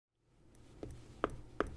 Eight, nine, ten,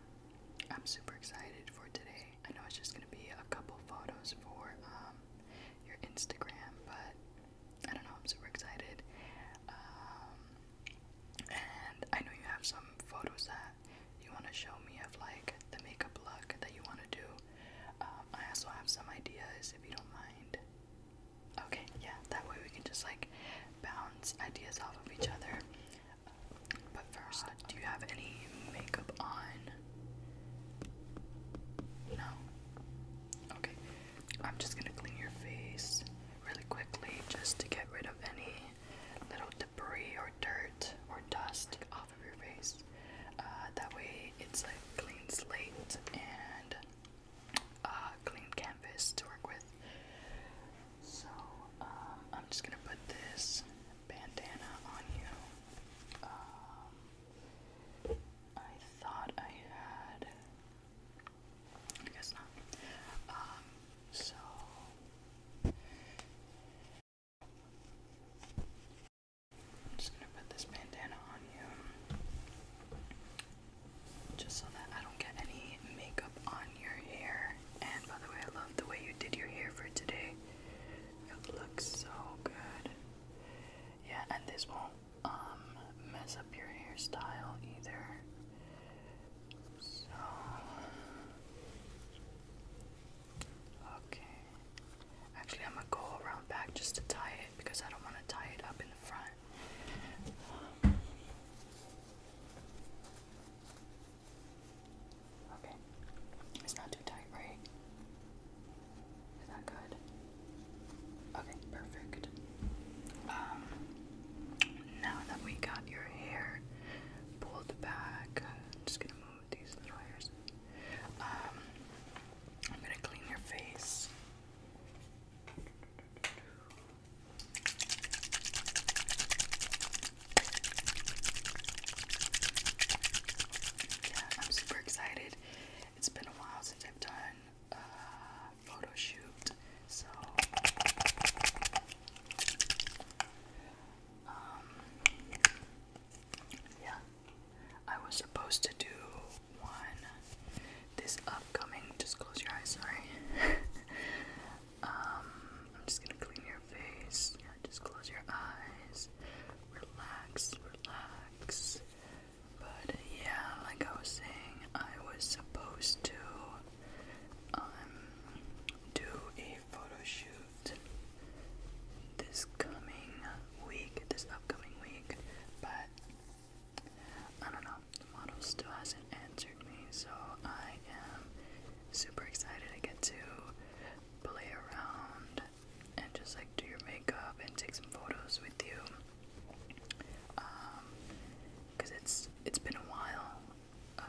I'm super excited for today. I know it's just gonna be a couple photos for um, your Instagram, but I don't know. I'm super excited, um, and I know you have some photos that you want to show me of like the makeup look that you want to do. Um, I also have some ideas if you don't mind. Okay, yeah, that way we can just like bounce ideas off of each other. But first, do you have any makeup on? No? Okay. I'm just gonna clean your face really quickly just to get rid of any little debris or dirt or dust off of your face. Uh, that way, it's like clean slate and a uh, clean canvas to work with. So, uh, I'm just gonna put this bandana on you. Um, I thought I had. I guess not. Um, so. I'm just gonna put this bandana on you. Just so that I don't get any makeup on your hair. And by the way, I love the way you did your hair for today. It looks so good. Yeah, and this won't um, mess up your hairstyle either. So Okay. Actually, I'm gonna go around back just to tie it because I don't want to tie it up in the front. Okay. It's not too tight, right? Is that good? Okay, perfect. Um, now that we got your hair pulled back, I'm just gonna move these little hairs. Um, I'm gonna clean your face. I'm super excited. It's been a while since I've done a uh, photo shoot, so um, yeah, I was supposed to do one this upcoming. Just close your eyes, sorry. Um, I'm just gonna clean your face. Yeah, just close your eyes. Relax, relax. But yeah, like I was saying, I was supposed to um do a photo shoot this coming week, this upcoming week, but I don't know, the model still hasn't answered me, so I am super excited to get to play around and just like do your makeup and take some photos with you. Um, cause it's it's been a while, uh,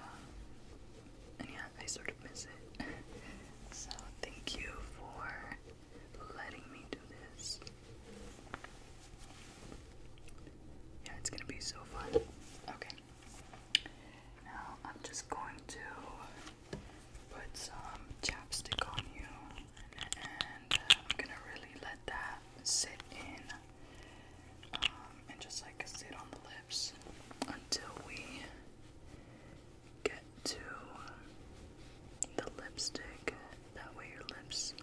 and yeah, I sort of miss it. so thank you for letting me do this. Yeah, it's gonna be so fun. Okay. Now I'm just going to put some chapstick on you and uh, I'm gonna really let that sit in um, and just like sit on the lips until we get to the lipstick. That way your lips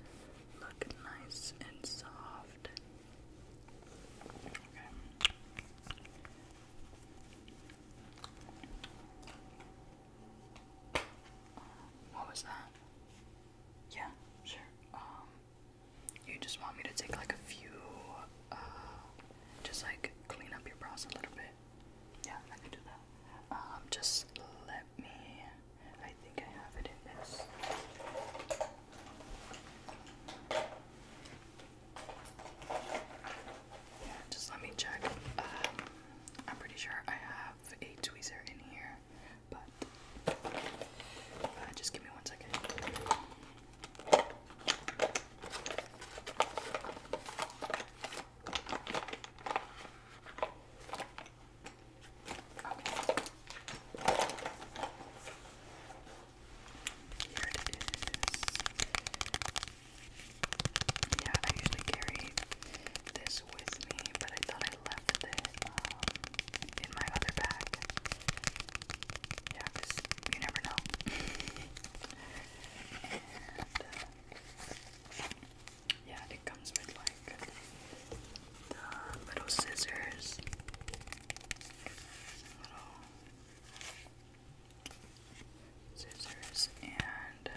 look nice and soft what was that? Yeah, sure. Um, you just want me to take like a few, uh, just like clean up your brows a little bit. Yeah, I can do that. Um, just let me. I think I have it in this just let me check. Um, I'm pretty sure I have a tweezer in here, but uh, just give me one second. Yeah, I usually carry this with me, but I thought I left it um, in my other bag. Yeah, because you never know. Uh, yeah, it comes with like the little scissors, scissors and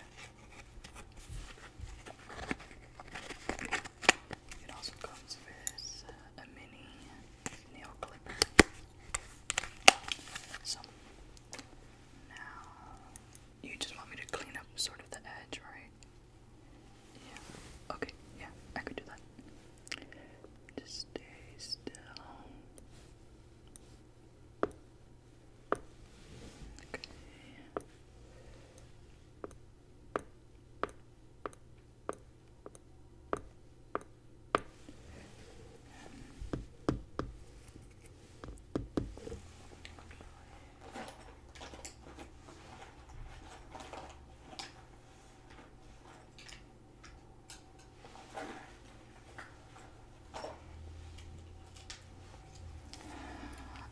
it also comes with a mini nail clipper. So now you just want me to clean up sort of the edge, right? Yeah. Okay, yeah, I could do that. Just stay still. Okay.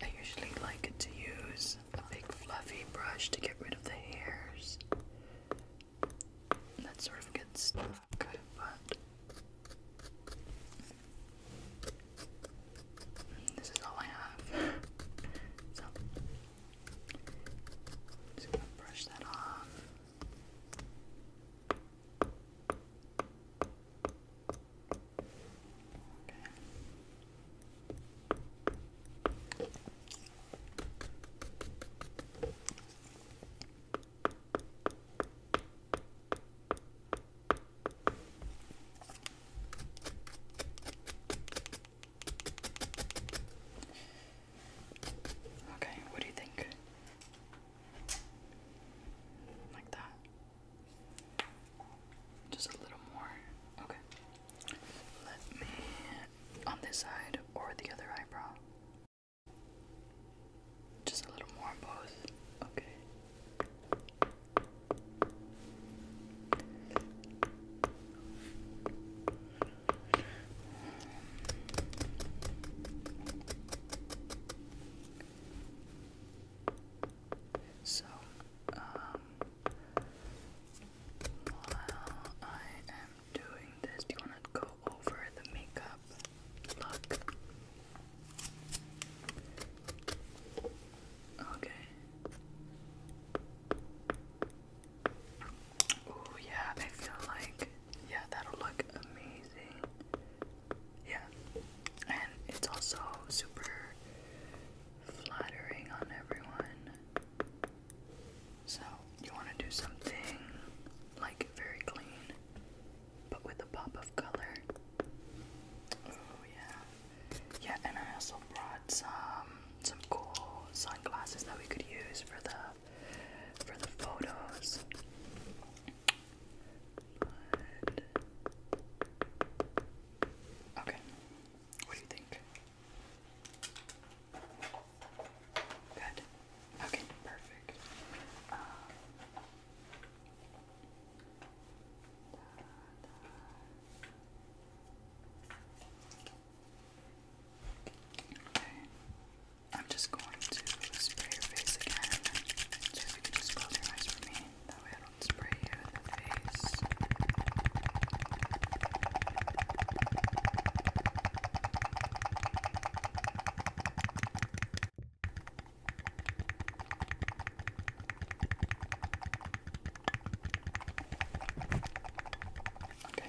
I usually like to use a big fluffy brush to get rid of the hairs. That sort of gets stuck, but this is all I have. so just gonna brush that off. Okay. Okay. Okay, what do you think? Like that? Just a little more. Okay. Let me on this side or the other eyebrow. Just a little more on both. Okay. So, um, I am doing this, do you want to go over the makeup look? Okay. Oh yeah, I feel like yeah, that'll look amazing. Yeah. And it's also super flattering on everyone. So, you want to do something like very clean but with a pop of color. Oh yeah. Yeah, and I also brought some some cool sunglasses that we could use for the for the photos. Okay, what do you think? Good. Okay, perfect. Um, I'm just going to spray your face again. So if you could just close your eyes for me. That I don't spray you face. Okay,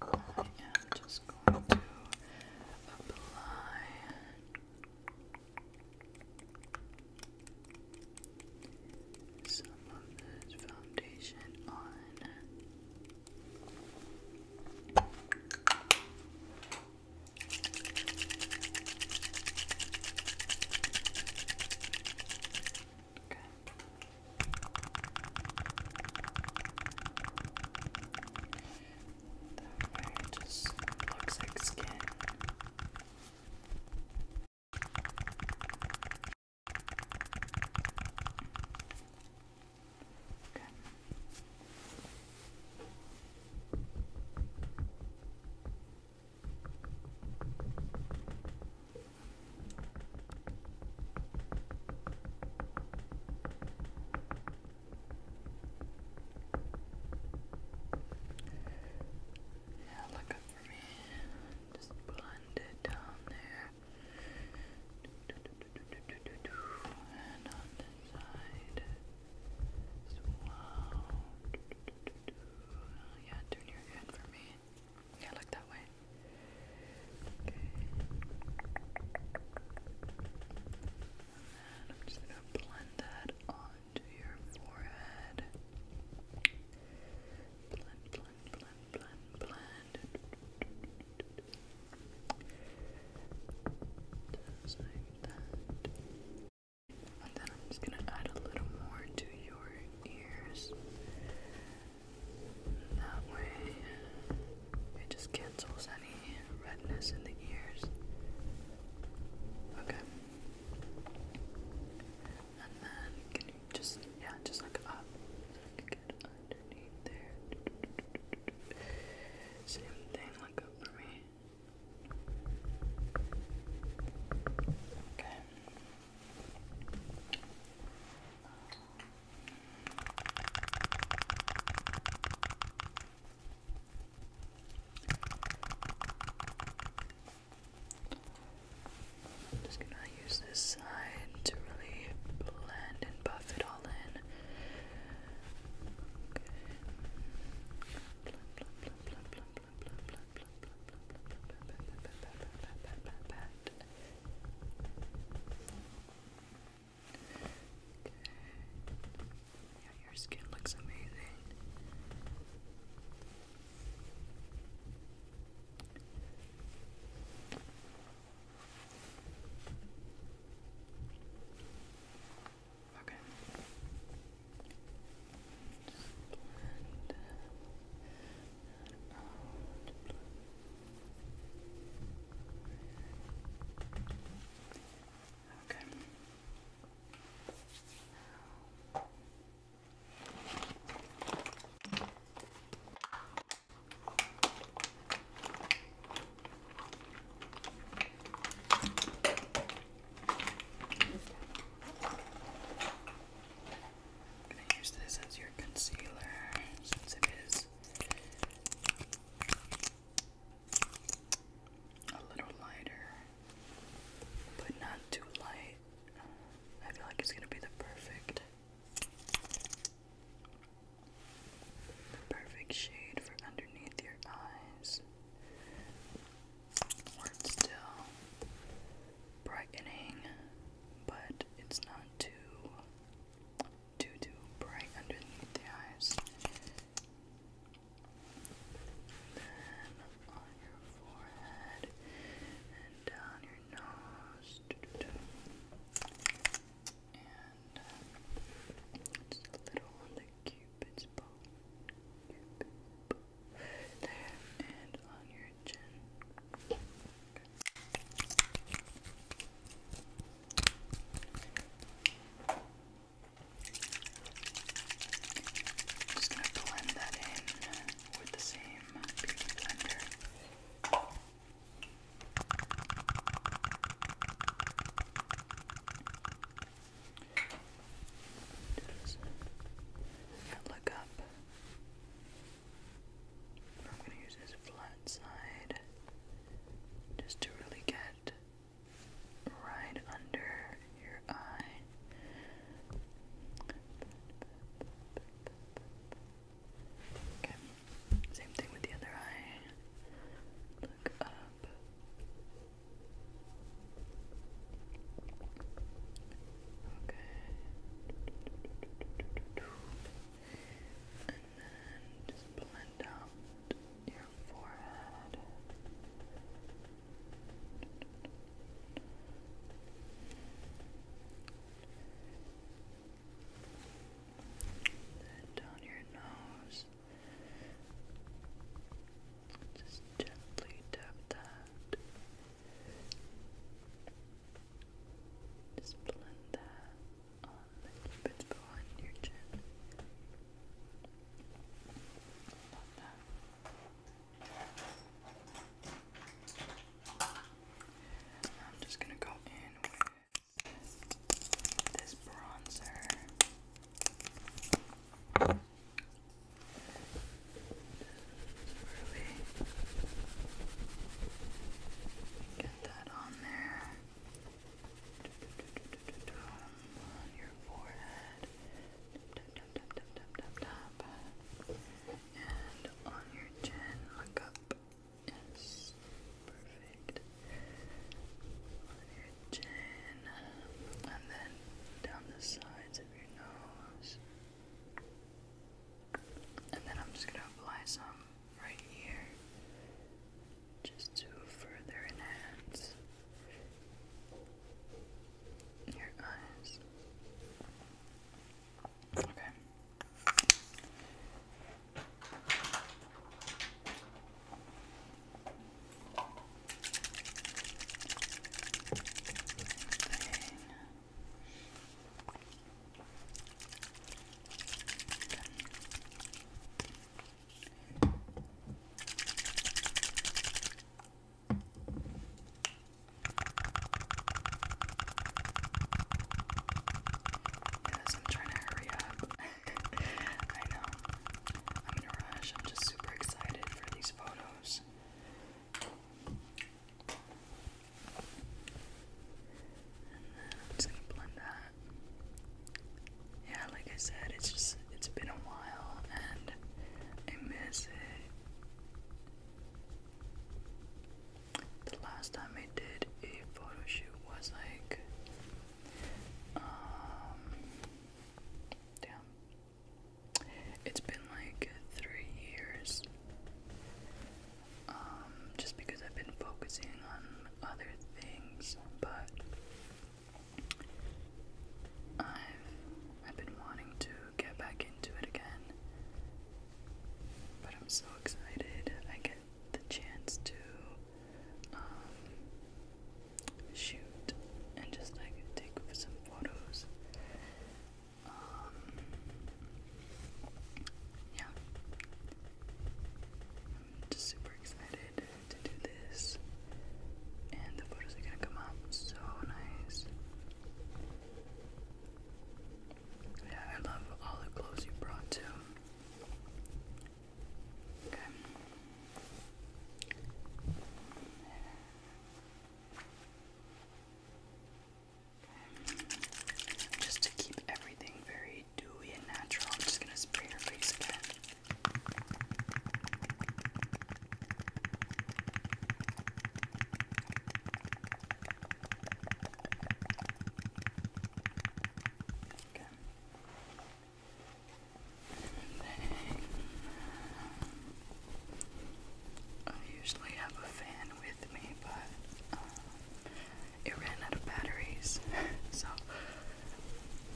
I am just going to apply some of this foundation on. Okay. That way it just looks like skin. Okay. Now look up for me. Just blend it down there. And on this side as Yeah, turn your head for me. Yeah, look that way. Okay. And then I'm just gonna blend that onto your forehead. Blend, blend, blend, blend, blend. And then I'm just gonna add a little more to your ears. That way, it just cancels any redness in the ears. Okay. And then, just, yeah, just look up. get underneath there. Same thing, look up for me. Okay. I'm just gonna use this side to really blend and buff it all in. Yeah, your skin looks amazing. Okay. Okay. I'm going to use this as your concealer since it is a little lighter, but not too light. I feel like it's gonna be the perfect, perfect shade for underneath your eyes. still brightening, but it's not too too too bright underneath the eyes. then on your forehead and down your nose. And uh, a little on the Cupid's bow. There and on your chin. I'm just going to blend that in with the same beauty blender. Just look up I'm going to use this flat side just to really get right under your eye. Okay, same thing with the other eye. Look up. Okay just blend out your forehead. Then down your nose. Just gently tap that. Just blend that on the cupid's bow your chin. Love that. I'm just gonna go in with this bronzer. Really get that on there on your forehead, and on your chin. Look up. Yes, perfect. On your chin, and then down the sides of your nose. And then I'm just gonna apply some right here just to further enhance your eyes. Okay. Thing. Yes, I'm trying to hurry up. I know. I'm in a rush. I'm just super excited for these photos. And then I'm just gonna blend that yeah, like I said, it's just it's been a while and I miss it. The last time I did a photo shoot was like um damn. It's been like three years. Um, just because I've been focusing on other things, but I've I've been wanting to get back into it again. But I'm so excited I get the chance to um, shoot and just like take some photos. Um, yeah. I'm just super excited to do this. And the photos are gonna come out so nice. Yeah, I love all the clothes you brought too. Okay. Just to keep everything very dewy and natural. I'm just gonna spray your face again. Okay. I usually have a fan with me, but um, it ran out of batteries, so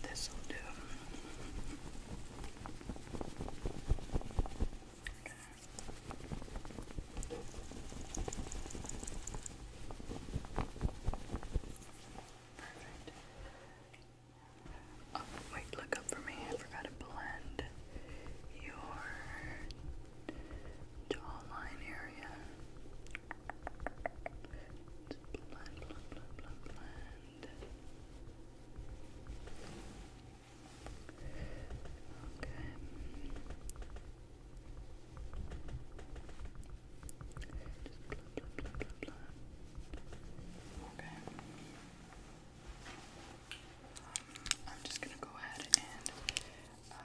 this will do. Perfect. Oh, wait, look up for me. I forgot to blend your jawline area blend, blend, blend, blend, blend. Okay. Just blend, blend, blend, blend, blend. Okay. Um, I'm just gonna go ahead and uh,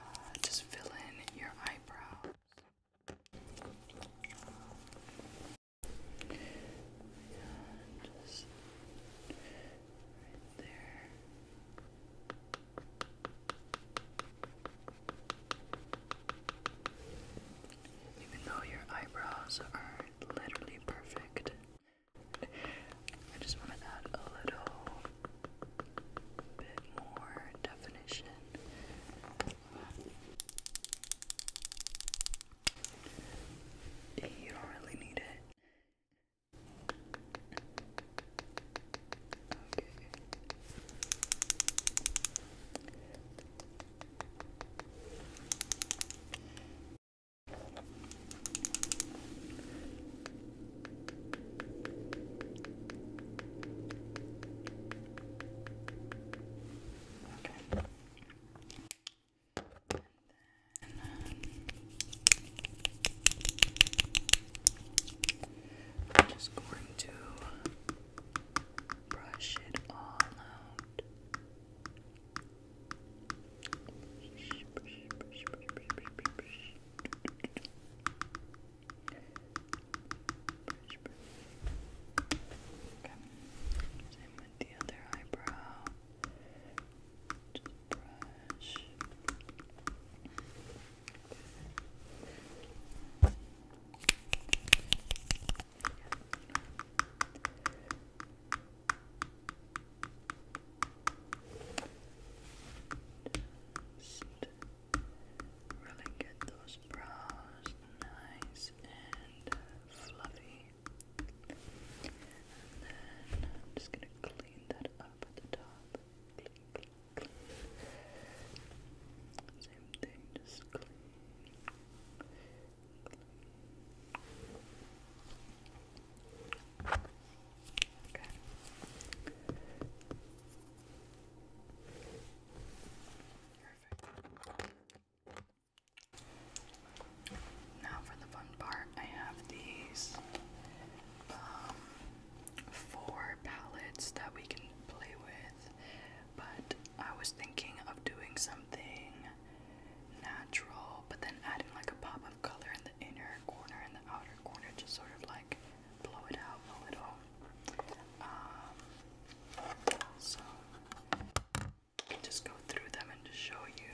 just fill in your eyebrows. Yeah, just Even though your eyebrows are literally perfect, I just want to a little bit more definition. You don't really need it. Okay. Okay. And I'm just going to brush it all out. Brush, brush. Same with the other eyebrow. Just brush. Really get those brows nice and fluffy. then I'm just gonna clean that up at the top. Same thing, just Okay. Now for the fun part, I have these um, four palettes that we can play with, but I was thinking of doing something natural, but then adding like a pop of color in the inner corner and the outer corner, just sort of like blow it out a little. Um, so you can just go through them and just show you,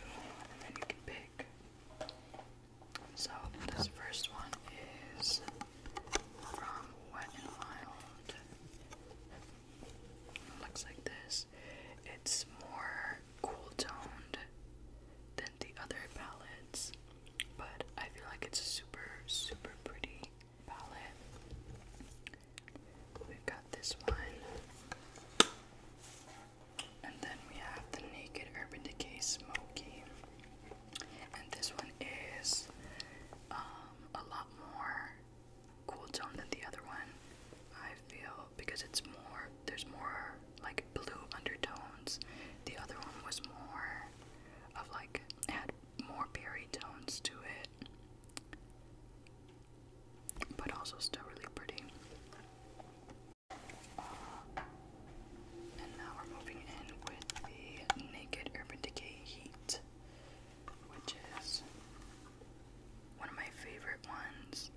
and then you can pick. So this first one is from Wet and Wild. It looks like this. It's more cool toned than the other palettes, but I feel like it's super, super pretty palette. We've got this one. And then we have the Naked Urban Decay Smoky. And this one is um, a lot more cool tone than the other one, I feel, because it's more, there's more like blue undertones. The other one was more of like, more berry tones to it, but also still really pretty. and now we're moving in with the Naked Urban Decay Heat, which is one of my favorite ones.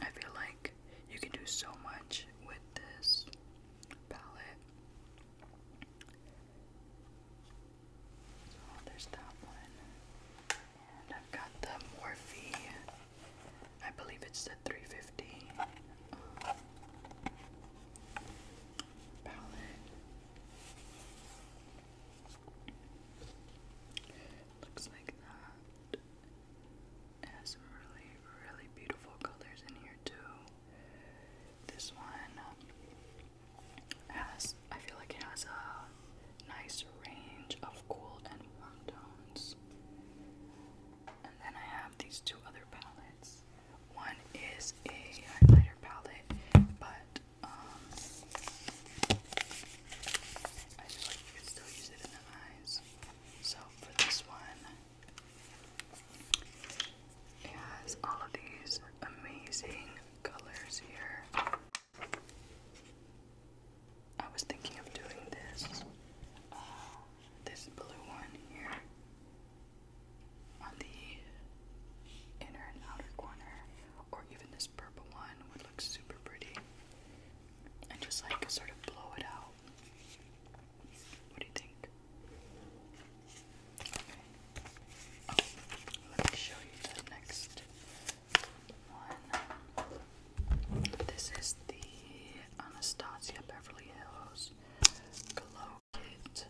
I feel like you can do so much with this palette. Oh, there's that one. And I've got the Morphe. I believe it's the 350 palette. Looks like that. has some really, really beautiful colors in here, too. This one um, has, I feel like it has a nice range of cool and warm tones. And then I have these two other palettes. One is a highlighter palette, but um, I feel like you can still use it in the eyes. So for this one, it has all of these amazing colors here. I was thinking of doing this, uh, this blue one here on the inner and outer corner, or even this purple one would look super pretty. And just like sort of blow it out. What do you think? Oh, let me show you the next one. This is the Anastasia Beverly Hills Glow Kit.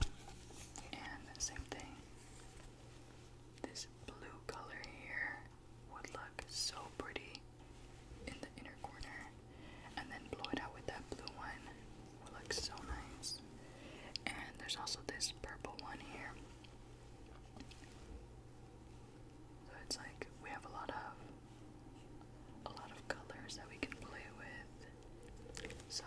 And same thing. This blue color here would look so pretty in the inner corner. And then blow it out with that blue one looks so nice. And there's also this purple one here. So it's like we have a lot of a lot of colors that we can play with. So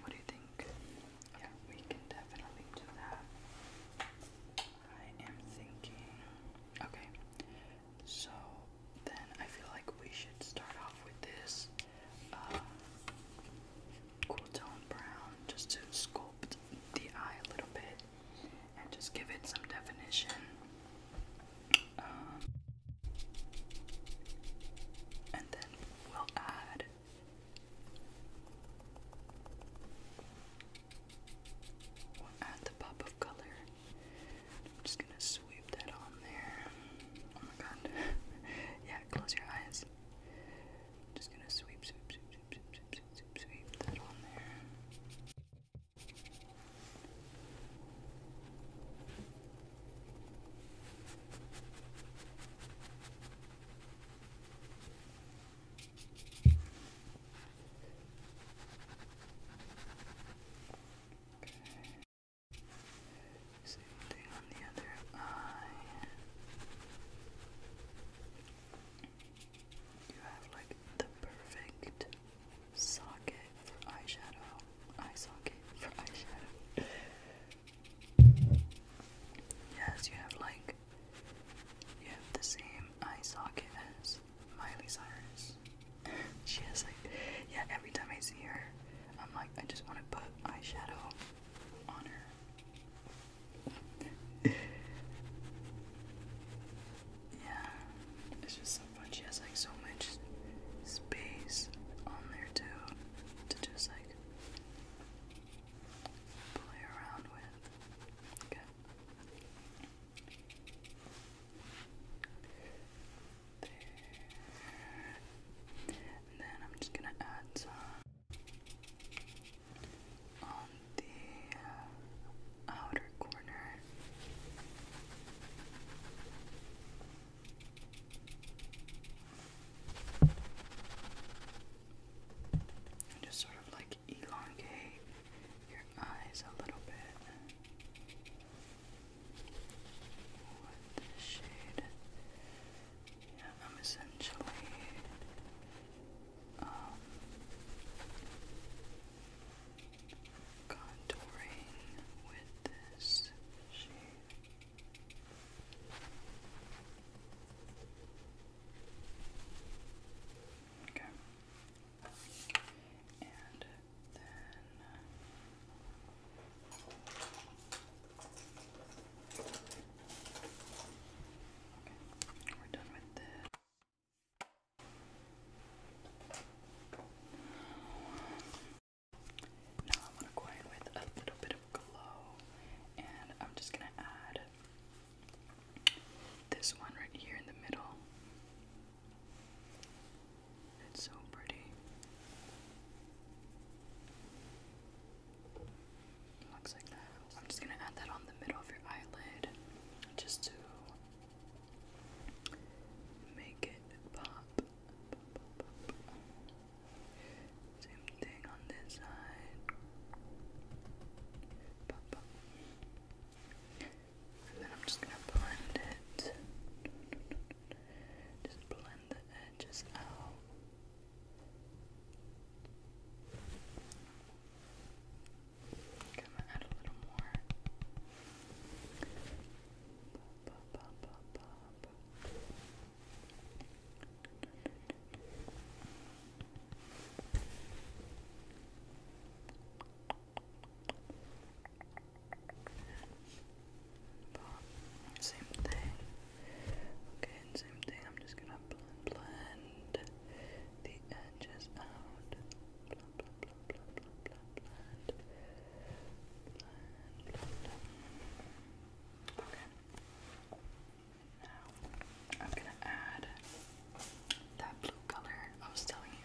what do you think? Yeah, we can definitely do that. I am thinking. Okay, so then I feel like we should start off with this uh, cool tone brown just to sculpt the eye a little bit and just give it some definition. Um, and then we'll add add the pop of color I'm just gonna sweep that on there. Oh my god. yeah, close your eyes. I'm just gonna sweep, sweep, sweep, sweep, sweep, sweep, sweep, sweep that on there. Same thing on the other eye. Uh, you have like the perfect socket for eyeshadow. Eye socket for eyeshadow. Yes, you have like you have the same eye socket as Miley Cyrus. she has like, yeah, every time I see her, I'm like, I just want to put eyeshadow on her. yeah, it's just so fun. She has like so much space on there too to just like play around with. And then I'm just gonna add some on the uh, outer corner. And just sort of like elongate your eyes a little bit with this shade. Yeah, I'm essentially contouring with this shade. Okay. And then we're done with this. Now I want to go in with a little bit of glow, and I'm just gonna add this one right here in the middle. It's so pretty. Looks like that. I'm just gonna add that on the middle of your eyelid just to make it pop. Same thing on this side. pop. And then I'm just going to blend it. Just blend the edges out. going to add a little more same thing. Okay, same thing. I'm just gonna blend, blend the edges out. Blah, blah, blah, blah, blah, blah, blend. Okay. Now I'm gonna add that blue color I was telling you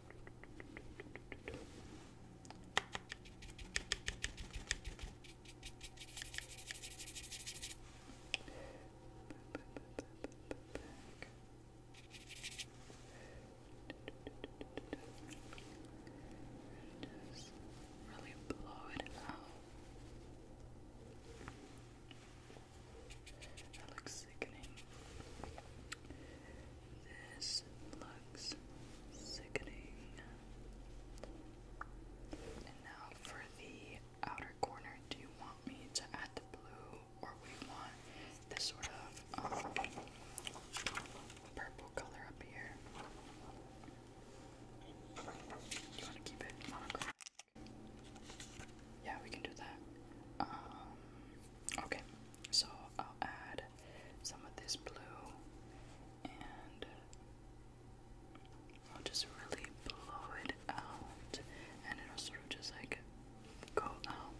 Just really blow it out. That looks sickening. This looks sickening. And now for the outer corner, do you want me to add the blue or we want this sort of um, purple color up here? You want to keep it monochromatic? Yeah, we can do that. Um, okay, so I'll add some of this blue and uh, I'll just really blow it out and it'll sort of just like go out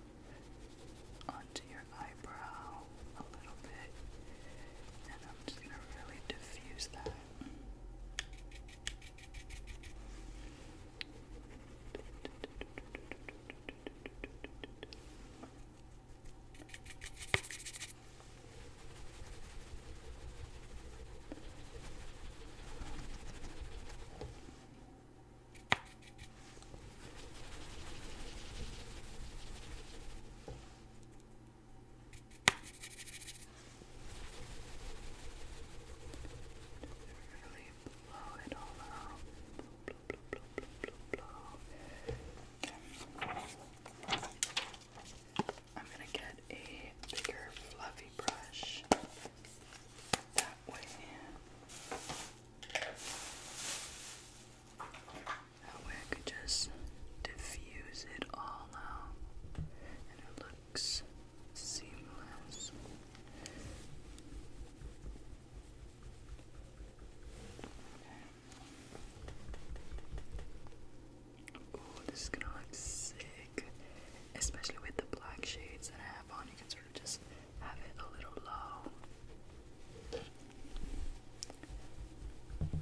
onto your eyebrow a little bit and I'm just gonna really diffuse that. Really blow it all up. I'm gonna get a bigger fluffy brush that way. That way I could just diffuse it all out and it looks seamless. Ooh, this is gonna look sick. Especially with the black shades that I have on, you can sort of just have it a little low.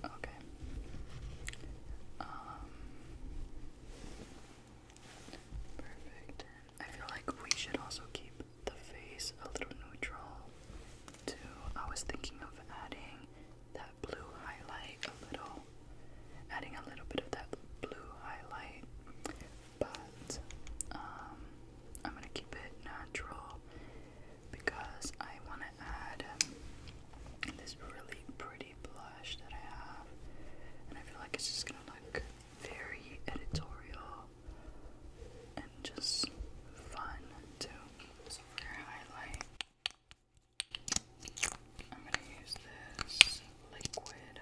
Okay. Um, perfect. I feel like we should also keep the face a little neutral too. I was thinking of adding that blue highlight a little, adding a little bit of that blue highlight, but um, I'm gonna keep it natural because I want to add this really pretty blush that I have, and I feel like it's just gonna look very editorial and just fun too. So for highlight, I'm gonna use this liquid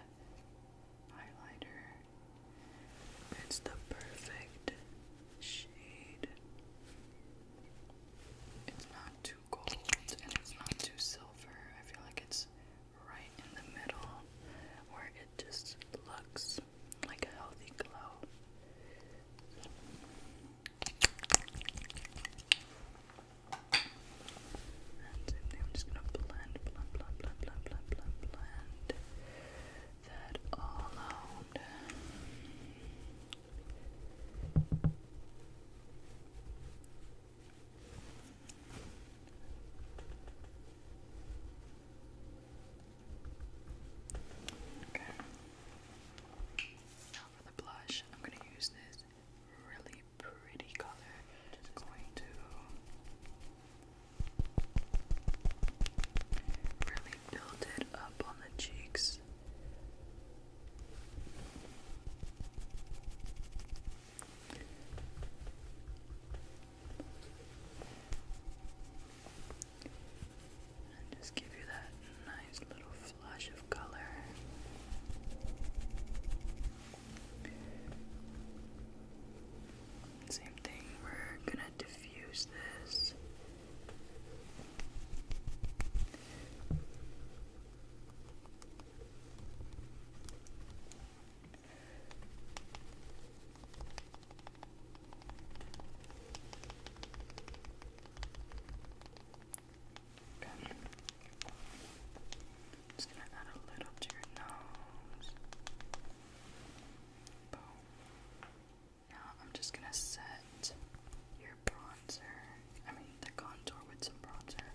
highlighter. It's the perfect shade. It's not too gold and it's not too silver. I feel like it's right in the middle where it just looks like a healthy glow. And I'm just gonna blend, blend, blend, blend, blend, blend, blend, blend that all out. Now for the blush, I'm going to use this really pretty color. Just going to really build it up on the cheeks. And just give you that nice little flush of color. Same thing, we're gonna diffuse this. Just gonna add a little to your nose. Now I'm just gonna set your bronzer, I mean the contour with some bronzer.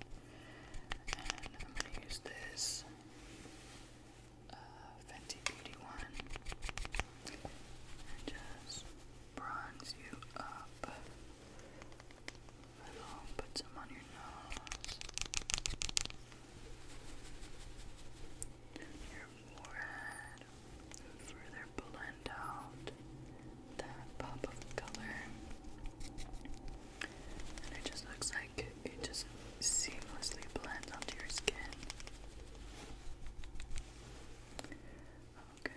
And I'm gonna use this uh, Fenty Beauty one and just bronze you up. And I'll put some on your nose, your forehead, further blend out that pop of color. And it just looks like it just seamlessly blends onto your skin. Okay.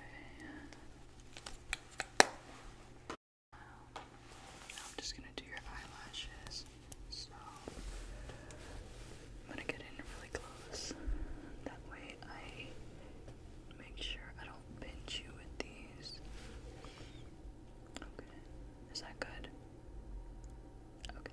Now I'm just gonna do your eyelashes. So I'm gonna get in really close. That way I make sure I don't pinch you with these. Okay. Is that good? Okay.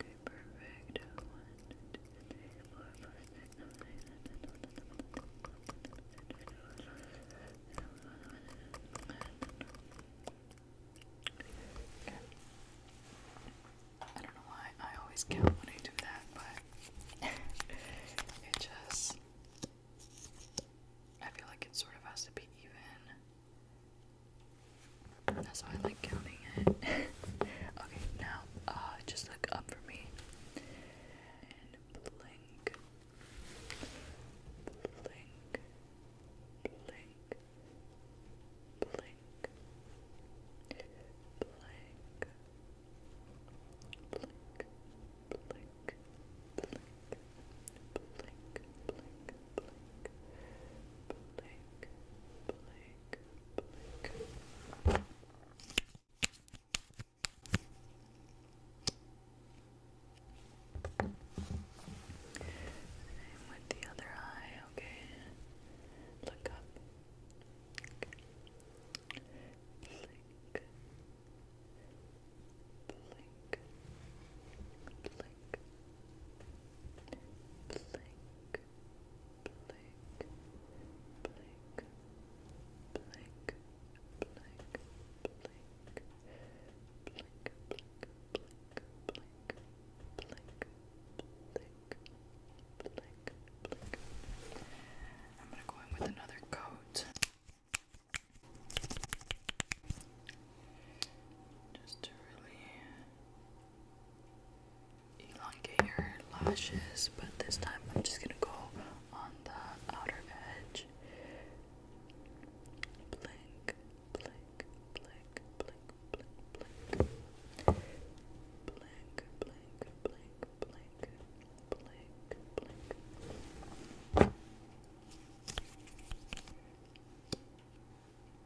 Okay, perfect. One, two, three, four, five, six, seven, eight, nine, ten, eleven, Okay. I don't know why I always count when I do that, but it just I feel like it sort of has to be even. That's why I like counting it. okay, now uh, just look up for me. And blink. Blink. Blink. Blink. Blink. Blink, blink, blink, blink, blink, blink, blink, Same with the other eye, okay? Look up. Blink. Blink. Blink blink, blink, blink, blink, blink, blink, blink, blink, blink, blink, blink, blink, blink. I'm gonna go in with another coat just to really elongate your lashes, but this time I'm just gonna go on the outer edge. Blink, blink, blink, blink, blink, blink. Blink, blink, blink, blink, blink, blink.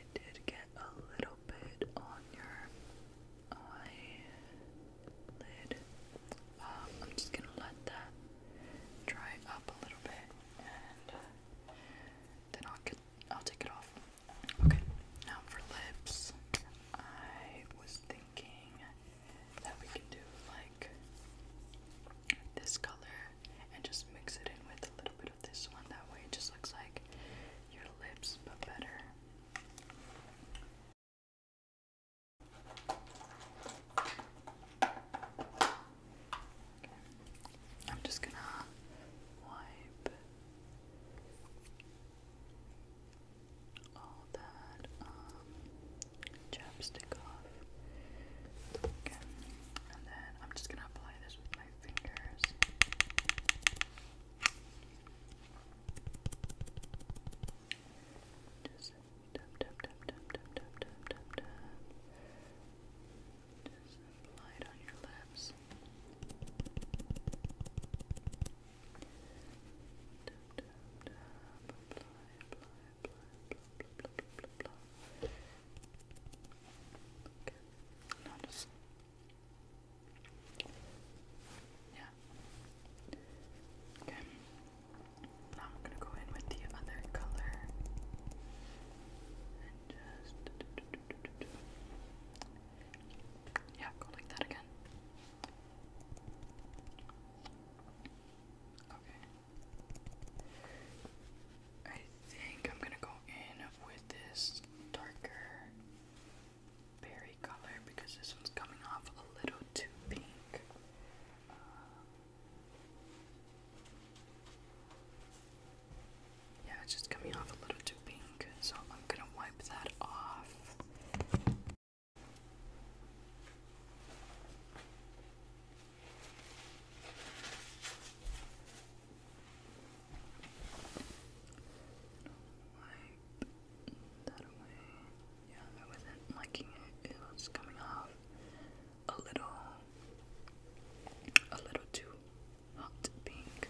I did get a little bit on your eyelid. Um, I'm just gonna let that dry up a little bit, and uh, then I'll get I'll take it off. Okay, now for lips, I was thinking that we can do like this color and just mix it in with a little bit this one. That way it just looks like your lips, but better. I'm just gonna wipe all that um, chapstick off. Okay. And then I'm just gonna apply this with my fingers. Just tap tap tap tap tap tap tap tap tap. Just apply on your lips. Tap tap tap. Apply, apply, apply, blah, blah, blah, Okay. Now just yeah. Okay. Now I'm gonna go in with the other color and just yeah, go like that again. Okay. I think I'm gonna go in with this darker berry color because this one's coming off a little too pink. Uh, yeah, it's just coming off a little too pink, so I'm gonna wipe that off that away. Yeah, I wasn't liking it. It was coming off a little, a little too hot pink.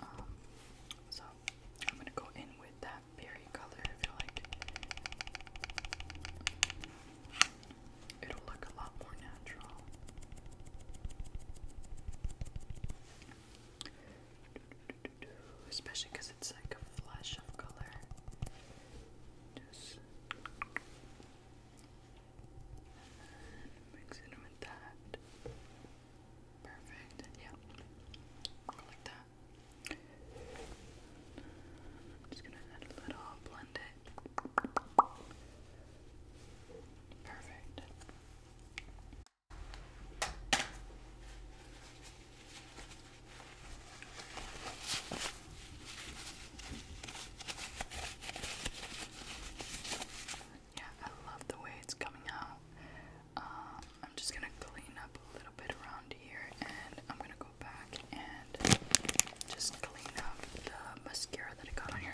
Um, so I'm gonna go in with that berry color. I feel like it'll look a lot more natural. Especially because it's like a flush of color. Just mix it with that. Perfect. Yeah. Like that. I'm just gonna add a little blend it. Perfect. Yeah, I love the way it's coming out. Um, I'm just gonna clean up a little bit around here and I'm gonna go back and just clean up the mascara that I got on here.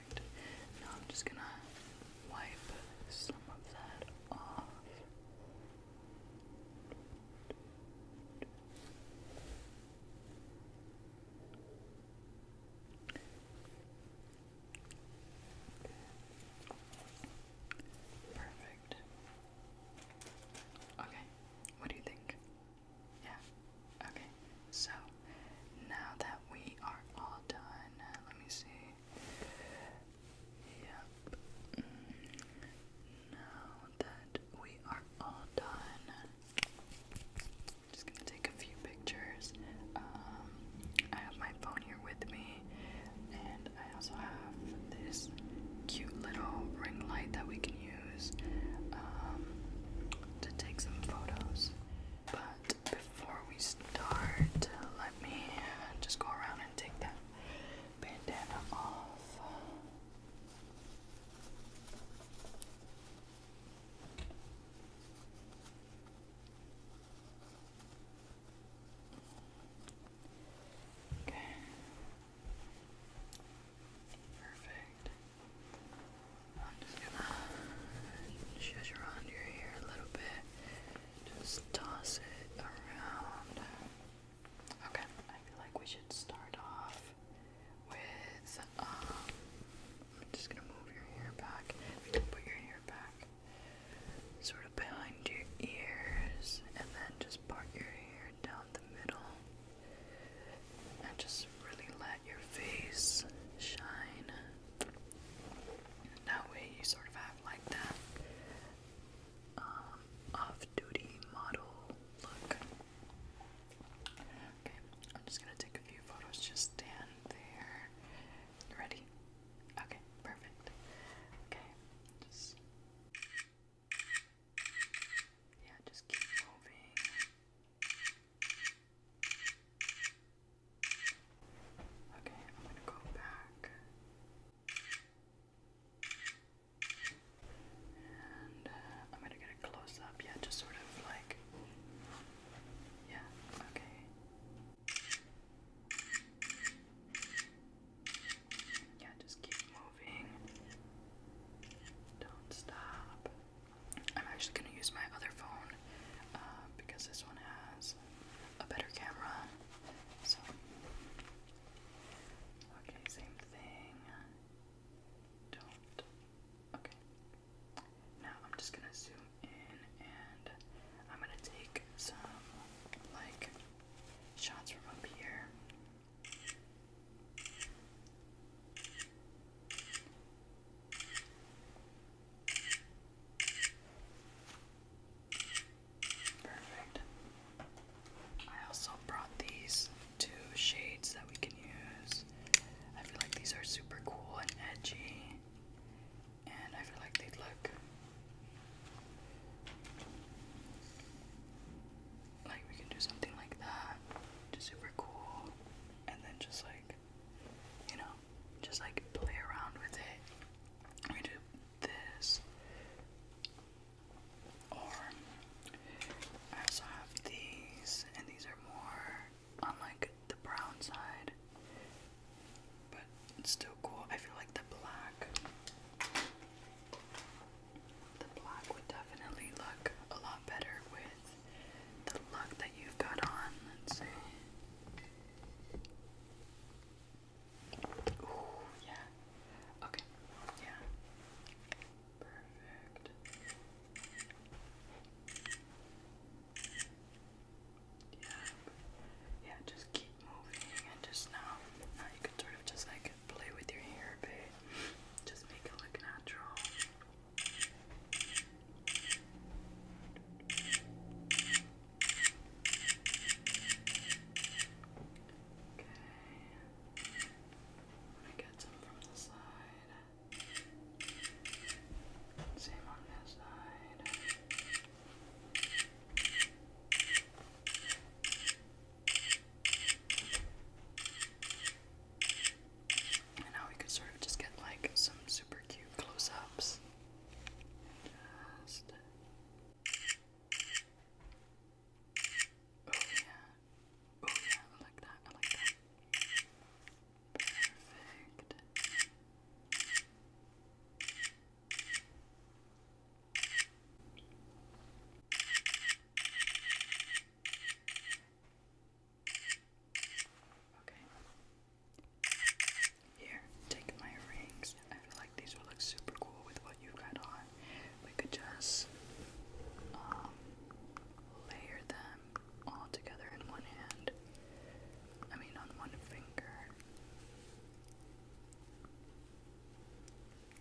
Perfect. I'm just gonna wipe some of that off. Perfect. Okay, what do you think? Yeah, Okay, so now that we are all done, uh, let me see. Yep. Mm, now that we are all done, just gonna take a few pictures. Um, I have my phone here with me, and I also have this cute little ring light that we can use um, to take some photos. But before we start, let me just go around and take that bandana off. Okay. Perfect. I'm just gonna shush around your hair a little bit. Just toss it around. Okay, I feel like we should start off with um, I'm just gonna move your hair back. put your hair back sort of behind your ears and then just part your hair down the middle and just really let your face shine. That way you sort of have like that um, off-duty model look. Okay, I'm just gonna take a few photos. Just stand there. ready? Okay, perfect. Okay, just yeah, just keep moving. Okay, I'm going to go back and uh, I'm going to get a close up. Yeah, just sort of like. Yeah, okay. Yeah, just keep moving. Don't stop. I'm actually going to use my other phone uh, because this one has a better camera. So, okay, same thing. Don't. Okay. Now I'm just going to zoom in and I'm going to take some like shots from up here. Perfect. I also brought these two shades that we can use. I feel like these are super cool and edgy, and I feel like they look like we can do something like that. Just super cool, and then just like you know, just like play around with it. We do this, or I also have these, and these are more on like the brown side, but it's still cool. I feel like the black, the black would definitely look a lot better with the look that you've got on. Let's see. Oh yeah. Okay. Yeah. Perfect. Yeah. Yeah. Just keep moving, and just now, now you can sort of just like play with your hair a just make it look natural. Let me get some from the side. Same on this side. Okay now we could sort of just get like some super cute close ups. Oh yeah. Oh yeah, I like that. I like that. Perfect. Okay. Here, take my rings. I feel like these would look super cool with what you've got on. We could just um, layer them all together in one hand. I mean, on one finger.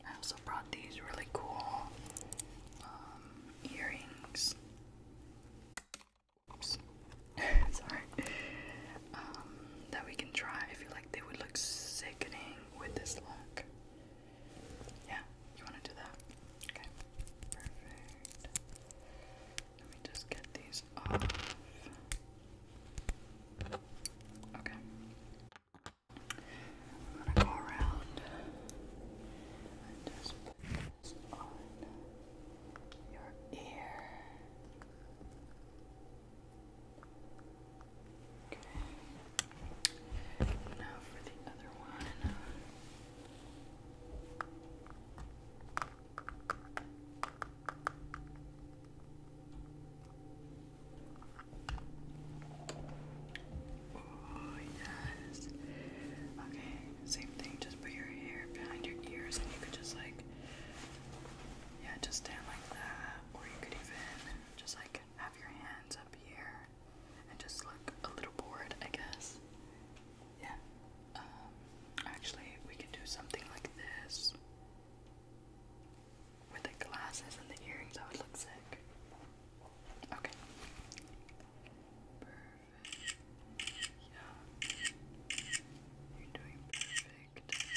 I also brought these really cool um, earrings oops, sorry, um, that we can try. I feel like they would look sickening with this look. Yeah, you want to do that? Okay, perfect. Let me just get these off. Okay. I'm gonna go around just focus on your ear. Okay. Now for the other one. Oh yes. Okay, same thing, just put your hair behind your ears and you could just like, yeah, just stand like that. Or you could even just like have your hands up here and just look a little bored, I guess. Yeah. Um, actually, we could do something like this with the glasses and the earrings. I would look sick. Okay. Yeah. You're doing perfect. Okay.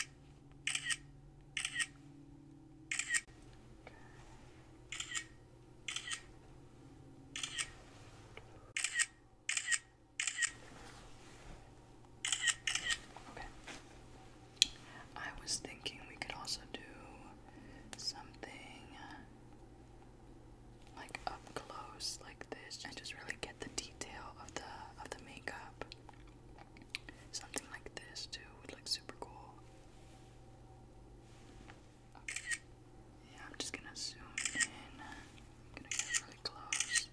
I was thinking we could also do something uh, like up close like this and just really get the detail of the of the makeup. Something like this too would look super cool. Yeah, I'm just gonna zoom in. I'm gonna get really close.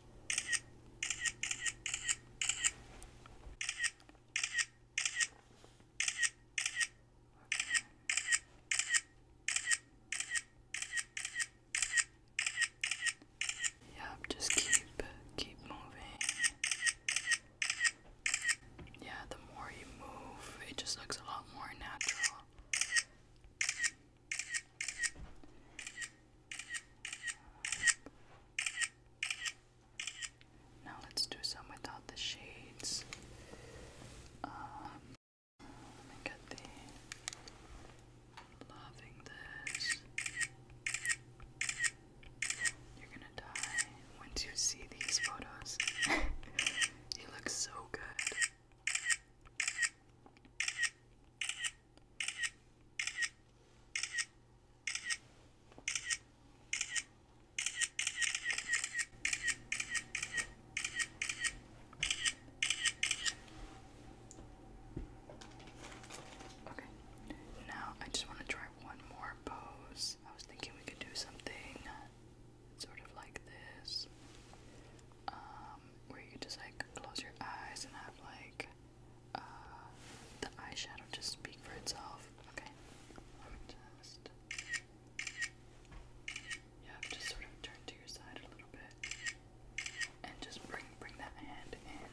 Yep, just keep keep moving. Yeah, the more you move, it just looks a lot more natural. Now let's do some without the shades. Um, Look at the loving this. You're gonna die once you see these photos. he looks so good. Okay, now I just want to try one more pose. I was thinking we could do something sort of like this, um, where you just like close your eyes and have like uh, the eyeshadow just speak for itself. Okay. You have sort of turn to your side a little bit and just bring bring that hand in.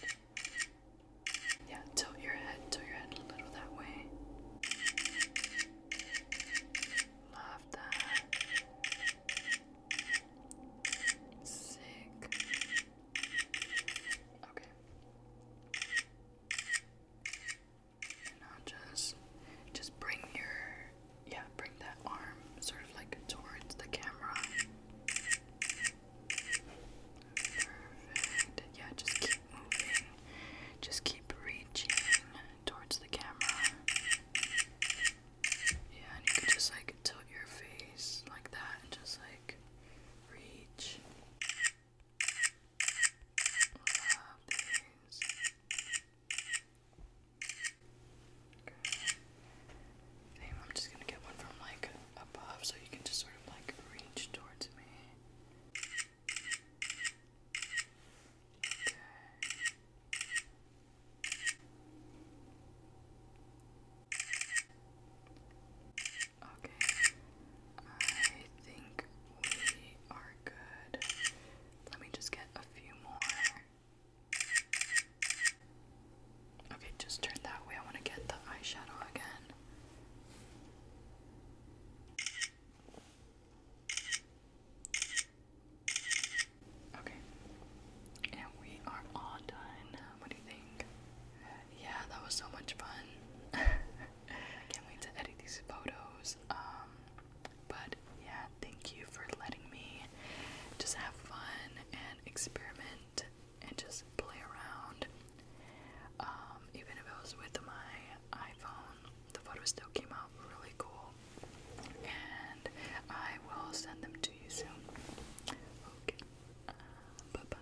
Perfect. Yeah, tilt your head, tilt your head a little that way. Love that. Sick. Okay just just bring your yeah, bring that arm sort of like towards the camera. Perfect. Yeah, just keep moving. Just keep reaching towards the camera. Yeah, and you can just like tilt your face like that and just like reach. Love these. Okay. Damn, I'm just gonna get one from like above so you can just sort of like reach towards me. Okay. Okay. Okay. I think we are good. Let me just get a few more. Okay, just turn that way. I want to get the eyeshadow again. Okay. And we are all done. What do you think? Yeah, that was so much fun. I can't wait to edit these photos. Um, but yeah, thank you for letting me just have fun and experiment and just play around. Um, even if it was with my iPhone, the photos still came out really cool. And I will send them to you soon. Okay. Uh, bye, bye.